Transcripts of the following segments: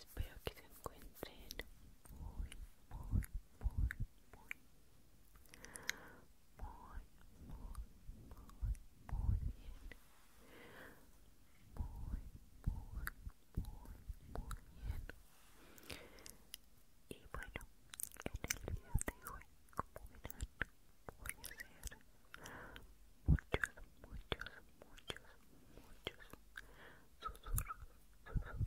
Espero que se encuentren muy, muy, muy, muy, muy, muy, muy bien. Muy, muy, muy, muy bien. Y bueno, en el video de hoy, como verán, voy a hacer muchos, muchos, muchos, muchos susurros, susurros.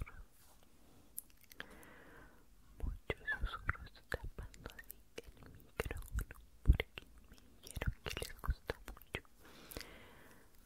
Muchos susurros tapando así el micrófono porque me dijeron que les gusta mucho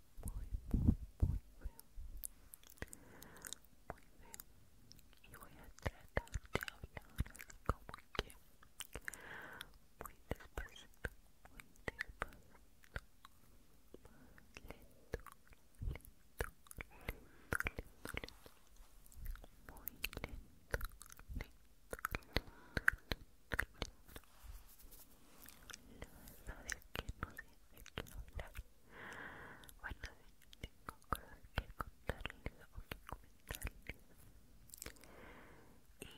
muy, muy, muy feo. Muy feo. Y voy a tratar de hablar así como que muy despacito, muy despacito, más lento, lento, lento, lento, lento. Muy lento, lento, lento, lento, lento no de que no sé de que hablar bueno, tengo cosas que contarles o que comentarles y el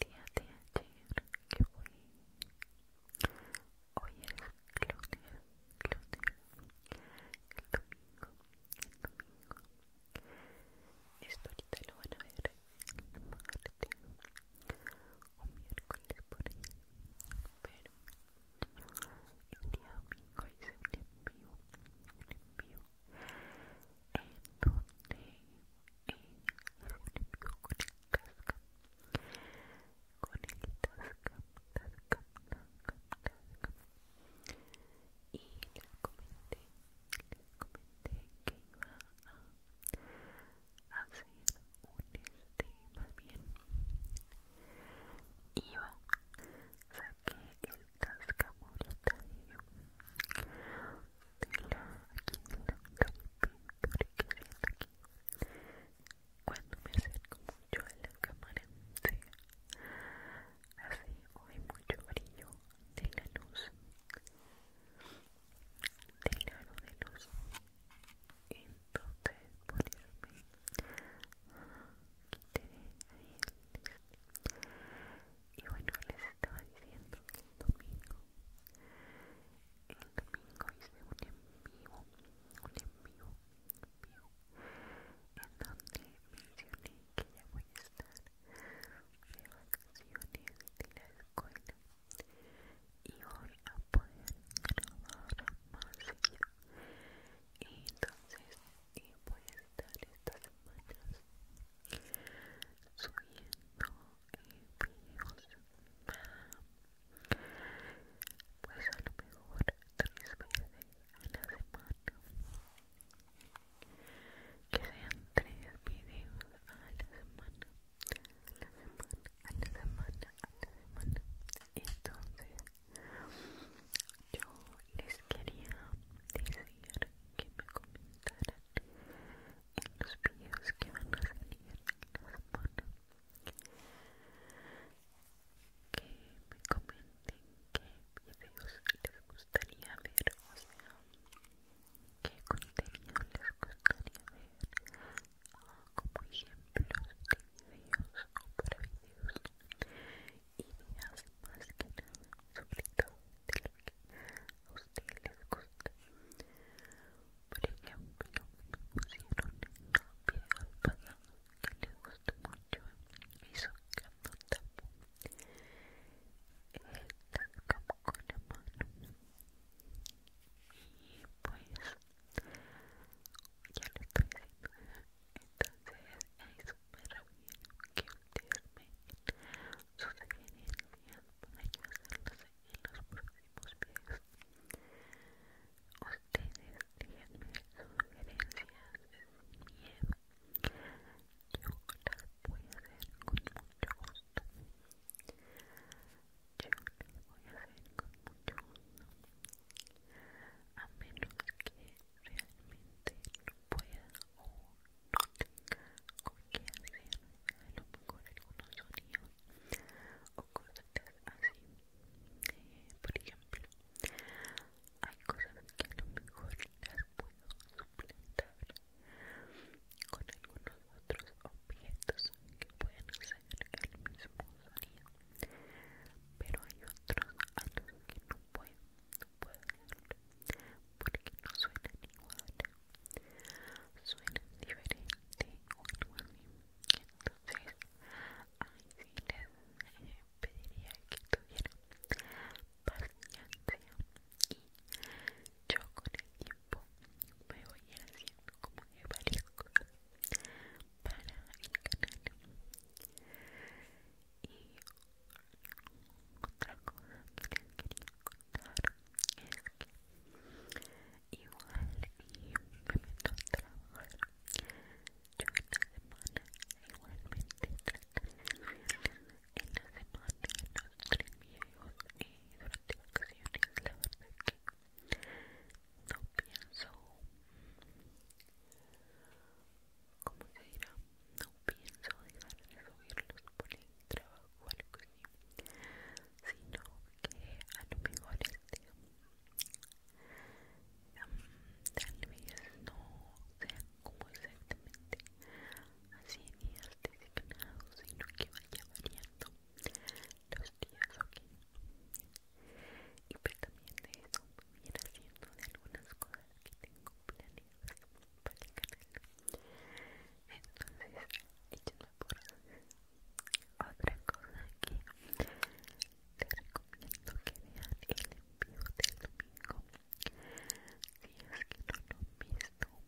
día de ayer que fue hoy es lunes, lunes el domingo, el domingo esto ahorita lo van a ver el parte un miércoles por ahí pero el día domingo un envío en donde eh, con el casca con el casco y comenté comenté que iba hacer un este más bien iba saqué el de, de la aquí que cuando me acerco mucho a la cámara hace hoy mucho brillo de la luz del la de luz entonces ponerme y bueno les estaba diciendo que el domingo el domingo hice un en vivo un en vivo en vivo en donde mencioné que ya voy a estar de vacaciones de la escuela y voy a poder grabar más y entonces voy a estar estas semanas subiendo videos pues a lo mejor tres veces a la semana que sean tres videos a la semana a la semana, a la semana, la semana. Entonces, yo les quería decir que me comentaran en los vídeos que van a salir la semana. Que me comenten qué vídeos les gustaría ver, o qué contenido les gustaría ver como ejemplos de videos o para videos ideas más que nada sobre todo de lo que a ustedes les gusta por ejemplo pusieron videos pasados que les gustó mucho y sacando tapo Están como con la mano y pues ya lo estoy haciendo entonces es súper bien que ustedes me den sus sugerencias para yo en los próximos videos ustedes díganme sus sugerencias bien, miedo yo las voy a hacer con mucho gusto yo lo voy a hacer con mucho gusto, a menos que realmente no pueda o no tenga con qué hacer a lo mejor algunos sonidos o cosas así. Eh, por ejemplo, hay cosas que a lo mejor las puedo suplantar con algunos otros objetos que pueden hacer el mismo sonido pero hay otros a que no puedo, no porque no suenan igual suenan diferente o entonces ahí sí les eh, pediría que tuvieran paciencia y yo con el tiempo me voy haciendo como de varias cosas para el canal y otra cosa que les quería contar es que igual y me meto a trabajar yo esta semana igualmente en la semana videos y durante vacaciones la verdad es que no pienso como se dirá no pienso dejar de subirlos por el trabajo o algo así sino que a lo mejor este tal vez no sean como exactamente así es designados sino que vaya variando los días, aquí Y pues también de eso voy a haciendo de algunas cosas que tengo planeadas para el canal. Entonces, échenme por otra cosa que te recomiendo que vean el envío del domingo. Si es que no lo he visto,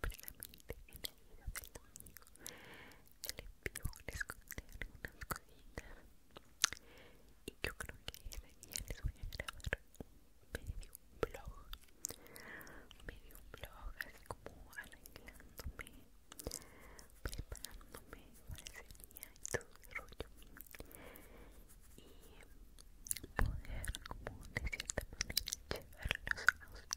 previamente en el hilo del domingo les pido les conté algunas cositas y yo creo que ese día les voy a grabar un medio blog medio blog así como arreglándome preparándome para ese día y todo el rollo y poder como de cierta manera llevarlos a ustedes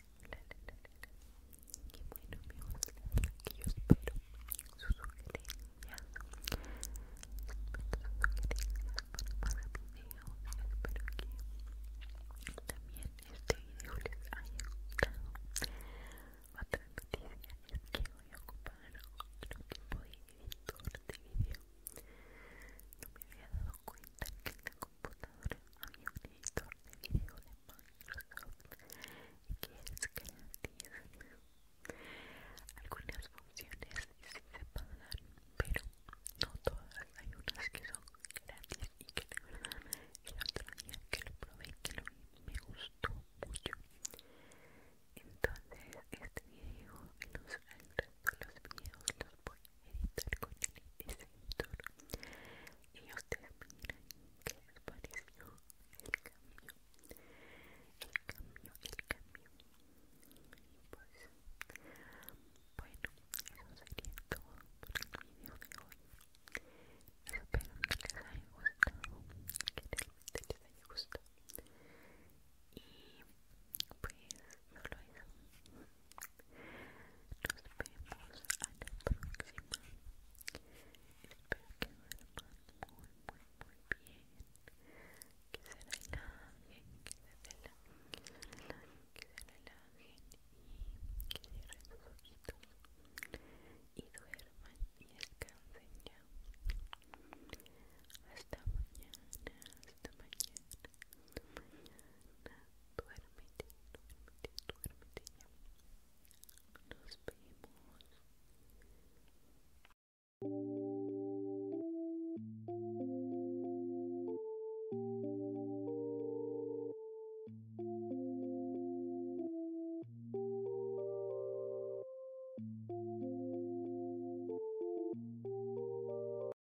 la, la, la, la. que bueno amigos, que yo espero sus sugerencias, espero sus sugerencias para más videos, espero que también este video les haya gustado. Otra noticia es que voy a ocupar otro tipo de editor de video. No me había dado cuenta que tengo computadora había un editor de video de Microsoft y que es gratis. Algunas funciones sí se dar pero no todas. Hay unas que son gratis y que de verdad el otro día que lo probé y que lo vi me gustó mucho. Entonces este video y los, el resto de los videos los voy editar con el editor y ustedes miren que les pareció el cambio el cambio el cambio y pues bueno eso sería todo por el video de hoy espero que les haya gustado que realmente les haya gustado y pues no lo nos vemos a la próxima. Espero que duerman muy, muy, muy bien. Que se relajen, que se relajen, que se relajen, y que cierren sus ojitos y duerman y descansen ya. Hasta mañana, hasta mañana, hasta mañana duérmete, duérmete, duérmete Nos vemos.